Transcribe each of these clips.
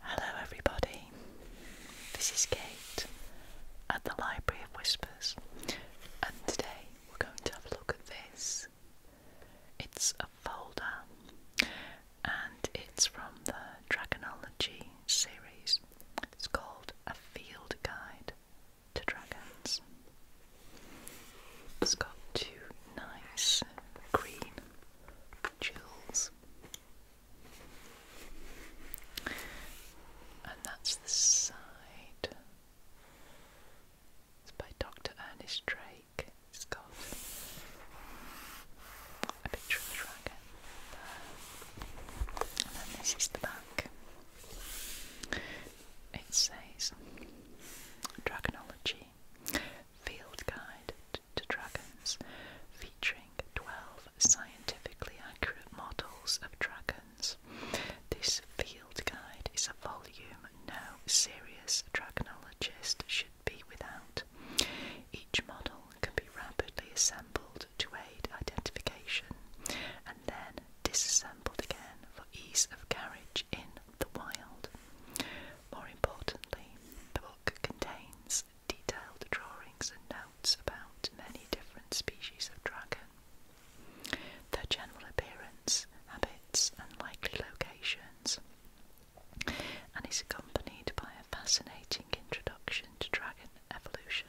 Hello, everybody. This is Kate at the Library of Whispers, and today we're going to have a look at this. It's a folder and it's from the Dragonology series. It's called A Field Guide to Dragons. It's got two nice green joules. And that's the side. It's by Dr. Ernest Drake. It's got a picture of the dragon And then this is the back. It says Dragonology Field Guide to Dragons, featuring 12 scientifically accurate models of dragons. This field guide is a volume no serious dragonologist should be without. Each model can be rapidly assembled to aid identification and then disassembled again for ease of carriage in the wild. More importantly, the book contains detailed drawings and notes about many different species of dragon, their general appearance, habits, and likely locations, and is accompanied by a fascinating introduction to dragon evolution.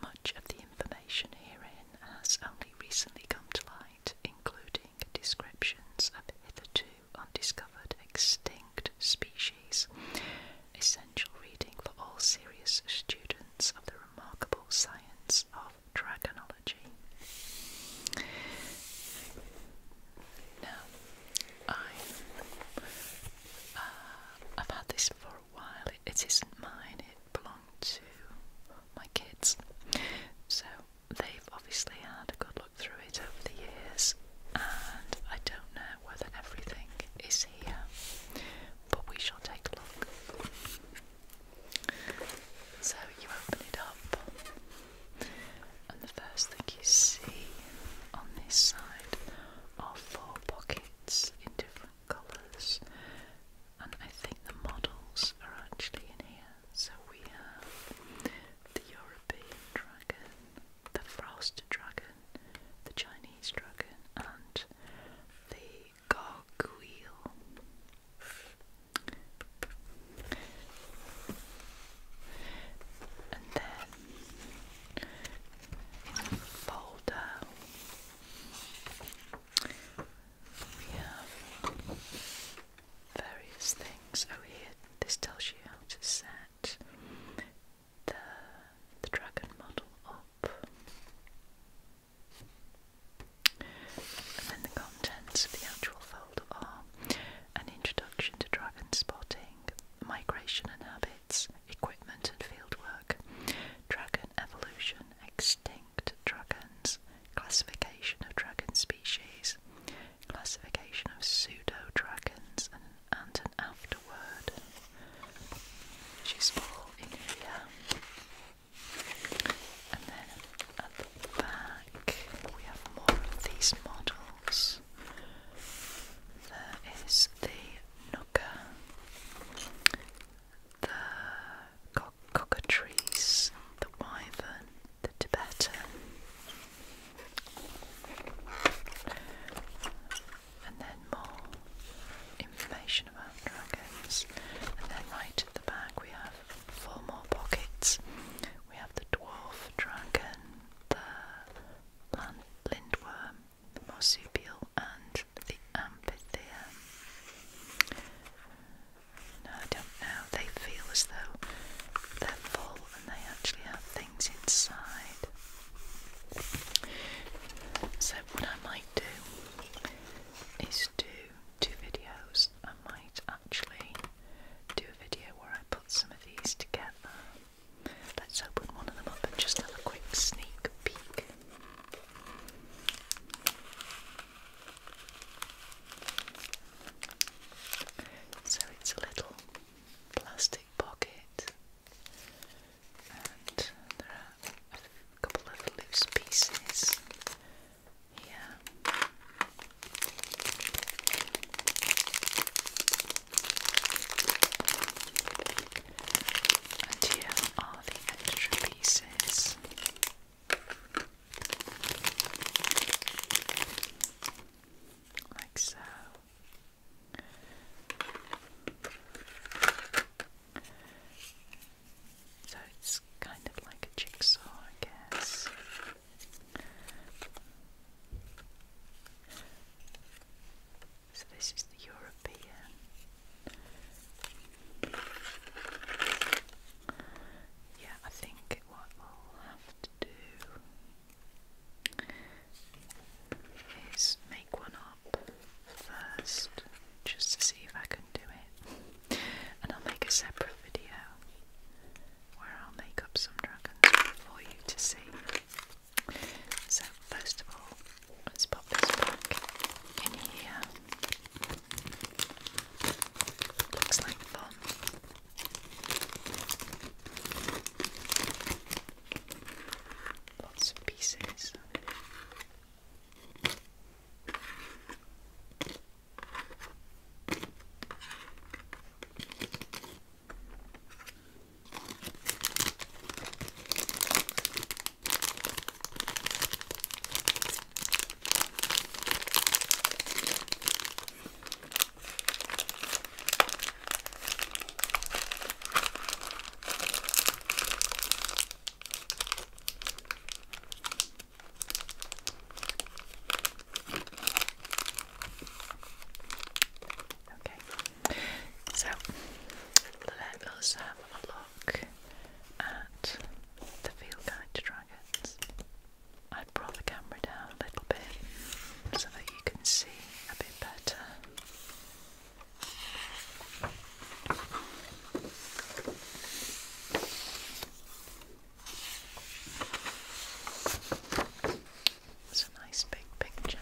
Much of the information herein has only recently come to light, including descriptions of hitherto undiscovered extinct species. Essential reading for all serious students of the remarkable science of dragonology. Now, I, have uh, had this for a while. it isn't mine. It belonged to my kids. So they've obviously had a good look through it over the years, and I don't know whether everything is here, but we shall take a look. So you open it up, and the first thing you see on this side are four pockets in different colours, and I think the models are actually in here. So we have the European dragon, the frost dragon, the Chinese dragon, and the gargoyle. And then folder we have various things. Oh, here, this tells you how to set the, the dragon model up. And then the contents of the actual folder are an introduction to dragon spotting, migration and habits, equipment and field work, dragon evolution, extinct dragons, classification of dragon species, classification of pseudo-dragons and, an afterword. She's all in here. And then at the back we have more of these models. There is the Nuka, the co the wyvern, the Tibetan. And then more information about dragons. And then right at the back we have four more pockets. We have the dwarf dragon, the land lindworm, the marsupial and the amphithea. No, I don't know. They feel as though they're full and they actually have things inside. So, what I might do is do two videos. I might actually do a video where I put some of these together. Let's open one of them up and just have a quick sneak peek. So it's a little plastic pocket, and there are a couple of loose pieces here. And here are the extra pieces like so. So it's kind of like a jigsaw, I guess. So this is the European. Yeah, I think what we'll have do is make one up first just to see if I can do it. And I'll make a separate video where I'll make up some dragons for you to see. So, first of all, let's pop this back in here. Looks like fun. Lots of pieces. Okay, so let us have a look at the field guide to dragons. I brought the camera down a little bit so that you can see a bit better. It's a nice big picture.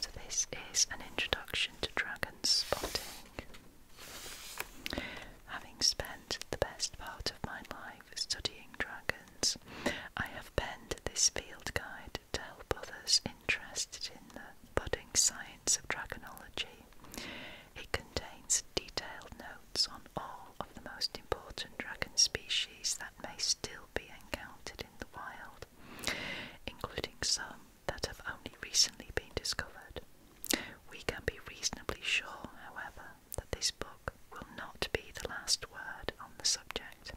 So, this is an introduction to dragon spotting. Having spent the best part of my life studying dragons, I have penned this field guide to help others interested in the budding science of dragonology. It contains detailed notes on all of the most important dragon species that may still be encountered in the wild, including some that have only recently been discovered. We can be reasonably sure, however, that this book will not be the last word on the subject.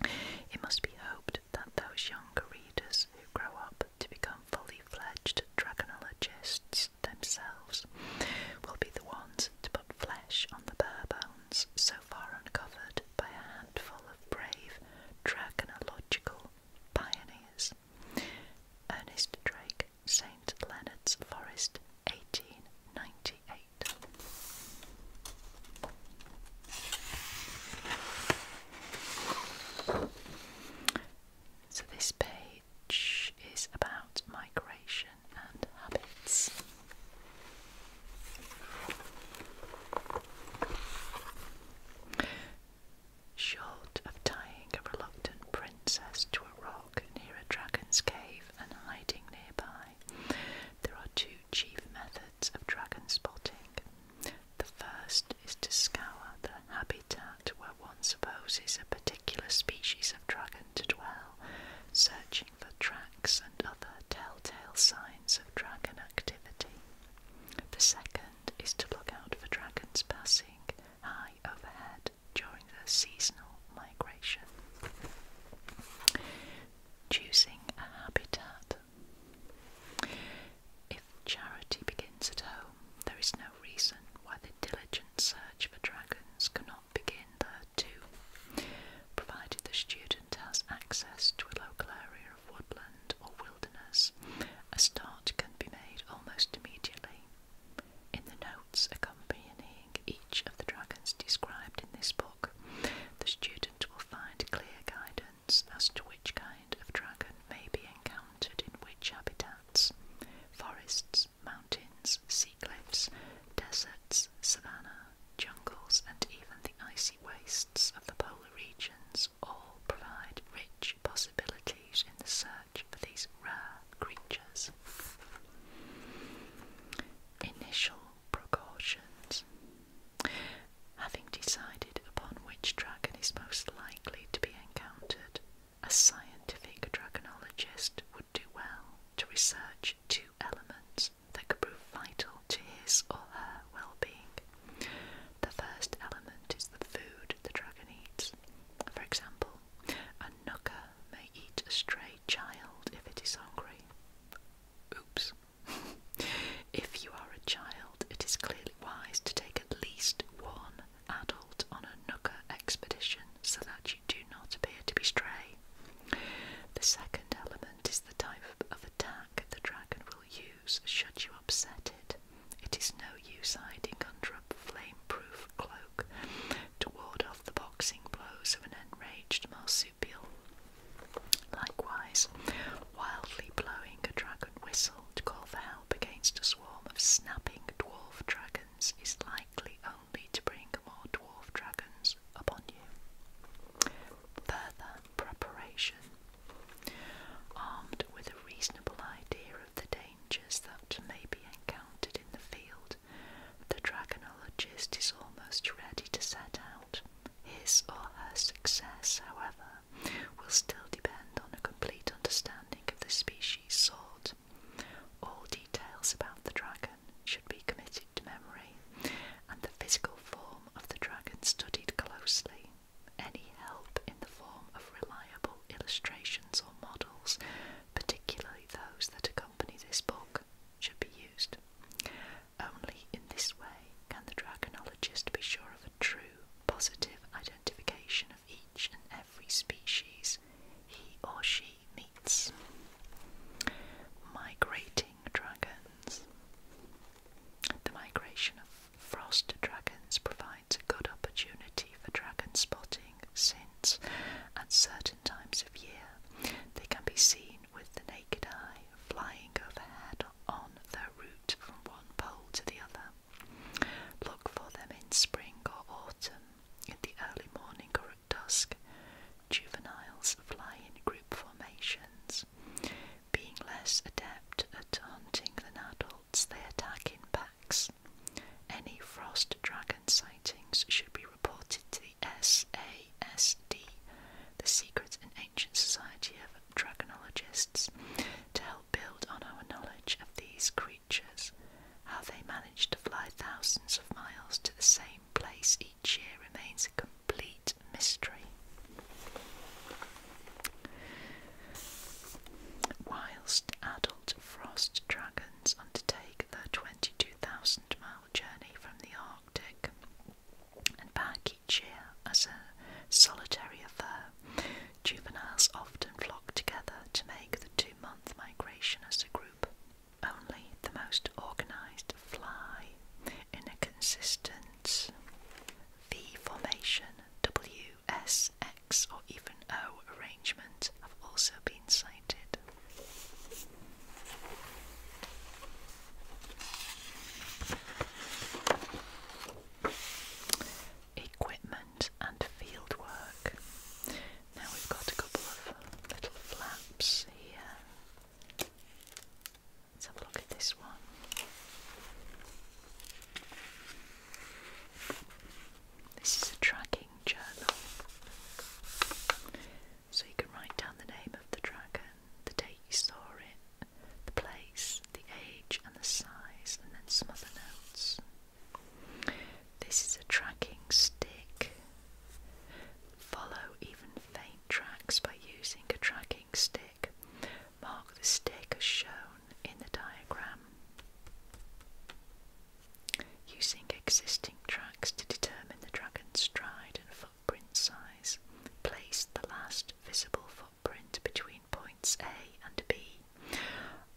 It must be hoped that those younger readers who grow up to become fully fledged dragonologists themselves will be the ones to put flesh on the bare bones so far uncovered by a handful of brave dragonological pioneers. Ernest Drake St. Leonard's Forest, 1898. So, this page is about migration and habits. Short of tying a reluctant princess to a rock near a dragon's cave and hiding nearby, there are two chief methods of dragon spotting. The first is to scour the habitat where one supposes a particular species of dragon to dwell, searching for tracks and other telltale signs of dragon activity. The second is to look out for dragons passing, hide, overhead during the seasonal migration. Choosing a habitat. If charity begins at home, there is no reason why the diligent search for dragons cannot begin there too, provided the student has access to a local area of woodland or wilderness. A start can be made almost immediately. In the notes accompanying each of the dragons described in this book, the student will find clear guidance as to which kind of dragon may be encountered in which habitats forests, mountains, sea cliffs, deserts, savanna, jungles, and even the icy wastes of the polar regions all provide rich possibilities in the search for these rare creatures. Initial precautions. Having decided upon which dragon is most likely to be encountered, a scientific dragonologist would do well to research two elements that could prove vital to his or her well being. The first element is the food the dragon eats, for example, a nooker may eat a stray child if it is hungry. Oops. if you are a child, it is clearly wise to take at least one adult on a nooker expedition so that you do not appear to be stray. The second element is the type of attack the dragon will use should you upset it. It is no use hiding under a flame-proof cloak to ward off the boxing blows of an enraged marsupial. Likewise, wildly blowing a dragon whistle to call for help against a swarm of snapping dwarf dragons is likely only to bring more dwarf dragons upon you. Further preparation. Armed with a reasonable idea of the dangers that may be encountered in the field, the dragonologist is almost ready to set out. His or her success, however, will still depend on a complete understanding of the species sought. All details about the dragon should be committed to memory, and the physical form of the dragon studied closely any help in the form of reliable illustrations or models, particularly those that accompany this book, should be used. Only in this way can the dragonologist be sure of a true, positive identification of each and every species he or she meets. Migrating dragons. The migration of frost dragons provides it's a good opportunity for dragon spotting since, at certain times of year, they can be seen with the naked eye flying overhead on their route from one pole to the other. Look for them in spring or autumn, in the early morning or at dusk. Juveniles fly in group formations. Being less adept at hunting than adults, they attack in packs any frost dragon sightings should be reported to the SASD, the Secret and Ancient Society of Dragonologists, to help build on our knowledge of these creatures, how they manage to fly thousands of miles to the same place each year remains a complete mystery. Whilst adult frost dragons undertake their 22,000 mile journey from the Arctic and back each year as a solitary affair. Juveniles often flock together to make the two month migration as a group. Only the most organized fly in a consistent V formation W S, X, or even O arrangement have also been cited. Equipment and field Now we've got a couple of little flaps here. Let's have a look at this one. This is a tracking journal. So you can write down the name of the dragon, the date you saw it, the place, the age, and the size, and then some other notes. This is a tracking stick. Follow even faint tracks by using a tracking stick. Mark the stick as shown in the diagram. Using existing tracks to determine the dragon's stride and footprint size, place the last visible footprint between points A and B.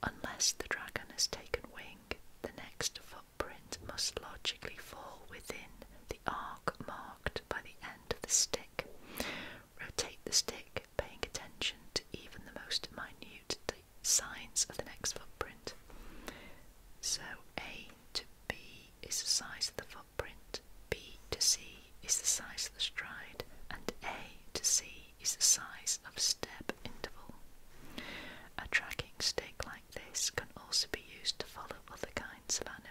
Unless the dragon has taken wing, the next footprint must logically fall within the arc marked by the end of the stick. Rotate the stick paying attention to even the most minute signs of the next footprint. So A to B is the size of the footprint, B to C is the size of the stride, and A to C is the size of step interval. A tracking stick like this can also be used to follow other kinds of animal.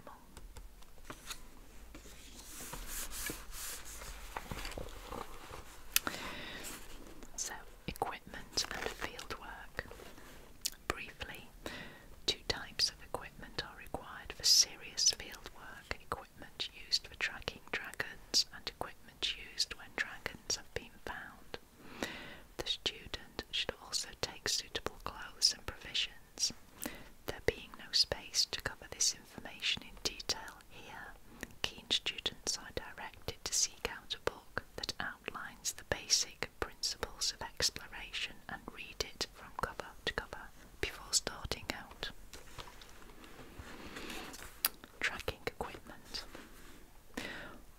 So, equipment and fieldwork. Briefly, two types of equipment are required for serious fieldwork equipment used for tracking dragons and equipment used when dragons have been found. The student should also take suitable clothes and provisions. There being no space to cover this information in detail here, keen students are directed to seek out a book that outlines the basic principles of exploration and read it from cover to cover before starting out. Tracking equipment.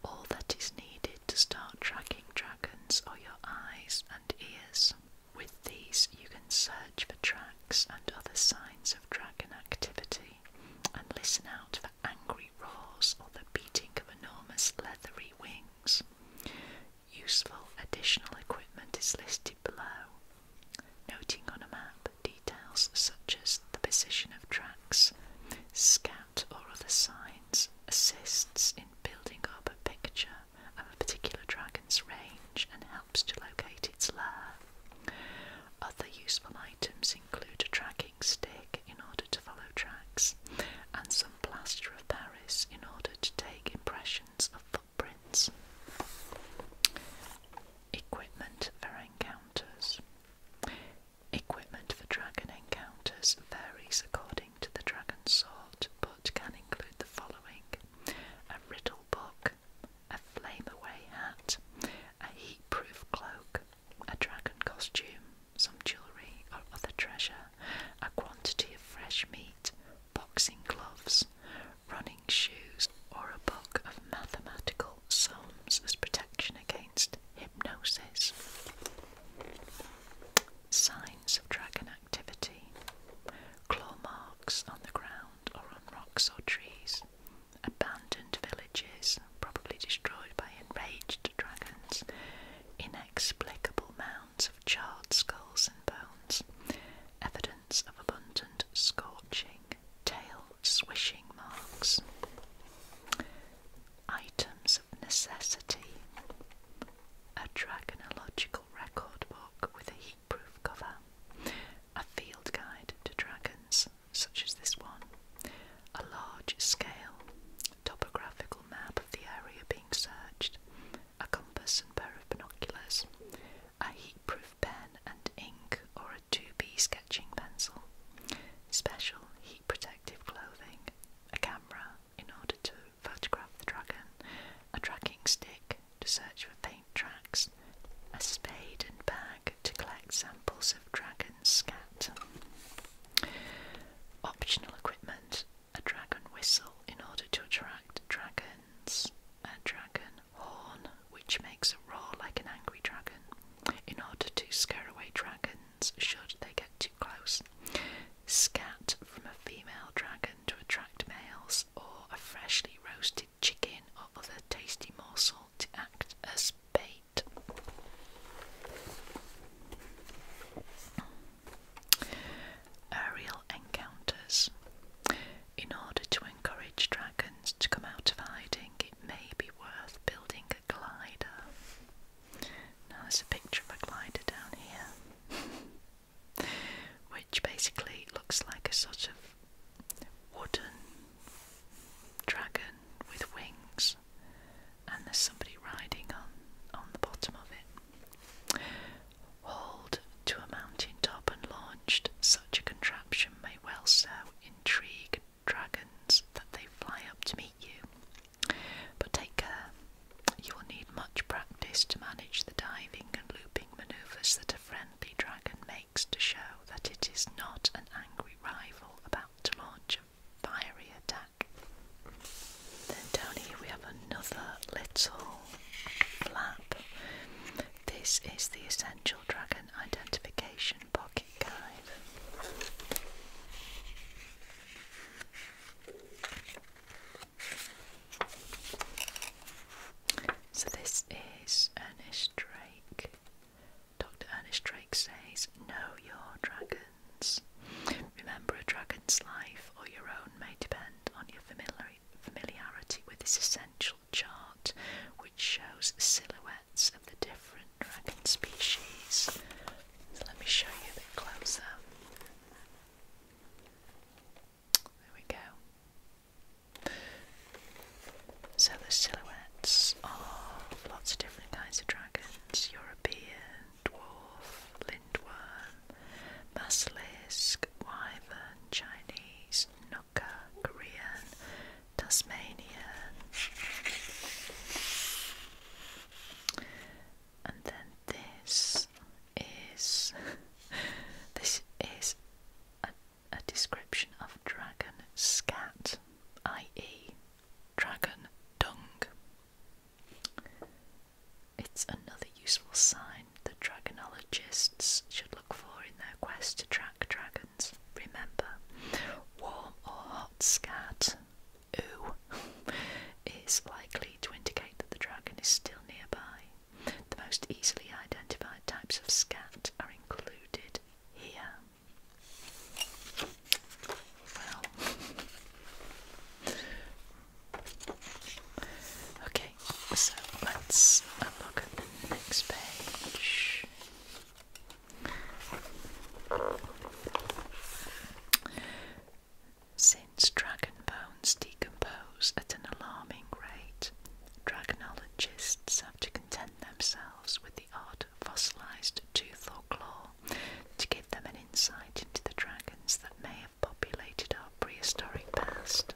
All that is needed to start tracking dragons are your eyes and ears. With these, you can search for tracks and other signs of dragon activity and listen out for angry roars or the beating of enormous leathery wings. Useful additional equipment is listed below, noting on a map details such as the position of tracks, scout or other signs, assists in building up a picture of a particular dragon's range and to locate its lair. Other useful items include a tracking stick in order to follow tracks, and some plaster of Paris in order to take impressions of footprints. Equipment for encounters. Equipment for dragon encounters varies according to the dragon sort, but can include the following: a riddle book, a flame away hat, a heat-proof cloak, a dragon costume, some jewellery or other treasure, a quantity of fresh meat, boxing gloves, running shoes, or a book of mathematical sums as protection against hypnosis. Signs of dragon activity, claw marks on the ground or on rocks or trees, abandoned villages, probably destroyed by enraged dragons, inexplicable mounds of charred skulls and bones, evidence of abundant scorching, tail swishing marks, items of necessity, a dragonological record book with a proof cover, a field guide to dragons, such as this one, a large scale, topographical map of the area being searched, a compass and pair of binoculars, a heat proof pen and ink or a 2B sketching pencil, special heat protective clothing, a camera in order to photograph the dragon, a tracking stick, to search for paint tracks, a spade and bag to collect samples of dragon scat. Optional equipment, a dragon whistle in order to attract dragons, a dragon horn which makes a roar like an angry dragon in order to scare away dragons should they get too close. Scat from a female dragon to attract males or a freshly roasted chicken or other tasty morsel to act as bait. Aerial encounters. In order to encourage dragons to come out of hiding, it may be worth building a glider. Now, there's a picture of a glider down here, which basically looks like a sort of wooden dragon with wings, and there's somebody riding on on the bottom of it. Hauled to a mountain top and launched, such a contraption may well so intrigue dragons that they fly up to meet you. But take care, you will need much practice to manage the diving and looping manoeuvres that a friend Candy Dragon makes to show that it is not an angry rival about to launch a fiery attack. Then down here we have another little flap. This is the Essential Dragon Identification Pocket Guide. So, this is Ernest Drake Dr. Ernest Drake says, Know your dragons. Remember, a dragon's life or your own may depend on your familiar familiarity with this essential chart, which shows silhouettes of the different dragon species. let me show you a bit closer. There we go. So the silhouettes of lots of different kinds of dragons, European, dwarf, lindworm, basilisk, wyvern, Chinese, Nooka, Korean, Tasmanian. And then this is this is a description of dragon scat, i.e., dragon dung. It's another useful sign that dragonologists should look for in their quest to track dragons. Remember, warm or hot scat, ooh, is likely to indicate that the dragon is still nearby. The most easily identified types of scat are included here. Well, okay, so let's look at the next page. Since dragon bones decompose at an alarming rate, Dragonologists have to content themselves with the odd fossilized tooth or claw to give them an insight into the dragons that may have populated our prehistoric past.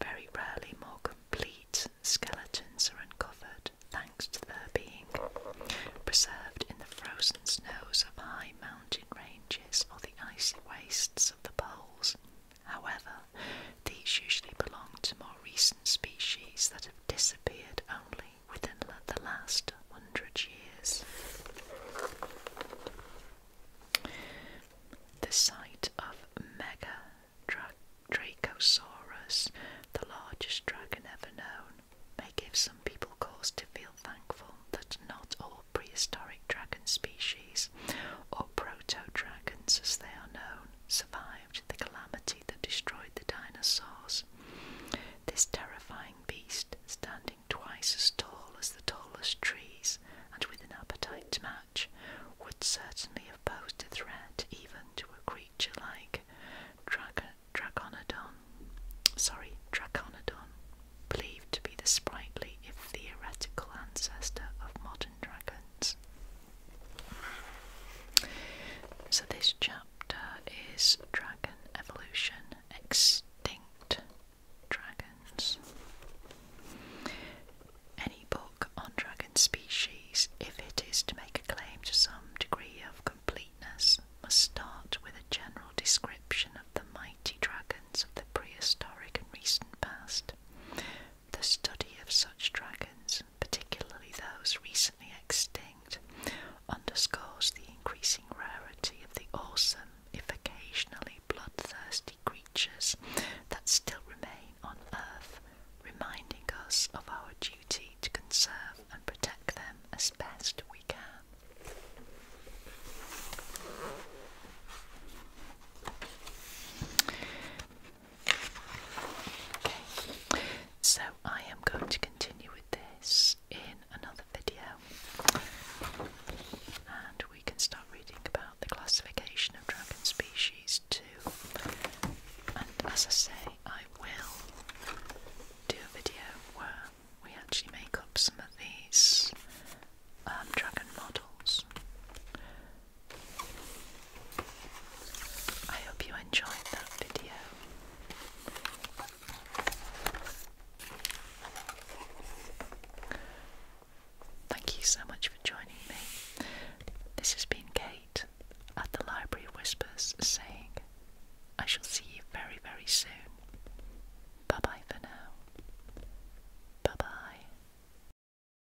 Very rarely more complete skeletons are uncovered thanks to their being preserved in the frozen snows of high mountain ranges or the icy wastes of the poles. However, these usually belong to more recent species that have disappeared only within the last hundred years. The sight of Mega Dra the largest dragon ever known, may give some people cause to feel thankful that not all prehistoric dragon species, or proto dragons as they are known, survived the calamity that destroyed the dinosaurs. This terrifying beast, standing twice as tall as the tallest trees and with an appetite to match, would certainly have posed a threat even to a creature like Dracodon. sorry, Dracodon, believed to be the sprightly if theoretical ancestor of modern dragons. So, this chapter is Dragon Evolution Extinct Dragons. Any book on dragon species, if it is to make a claim to some degree of completeness, must start with a general description of the mighty dragons of the prehistoric and recent past, the study of such dragons, particularly those recently extinct, underscores the increasing rarity of the awesome, if occasionally bloodthirsty creatures that still remain on Earth, reminding us of our duty to conserve and protect them as best we can. So I am going to continue with this in another video. And we can start reading about the classification of dragon species too. And as I say, I will do a video where we actually make up some of these um, dragon models. I hope you enjoyed that video. Thank you so much for joining me. This has been Kate at the Library Whispers saying, I shall see you very, very soon. Bye bye for now. Bye bye.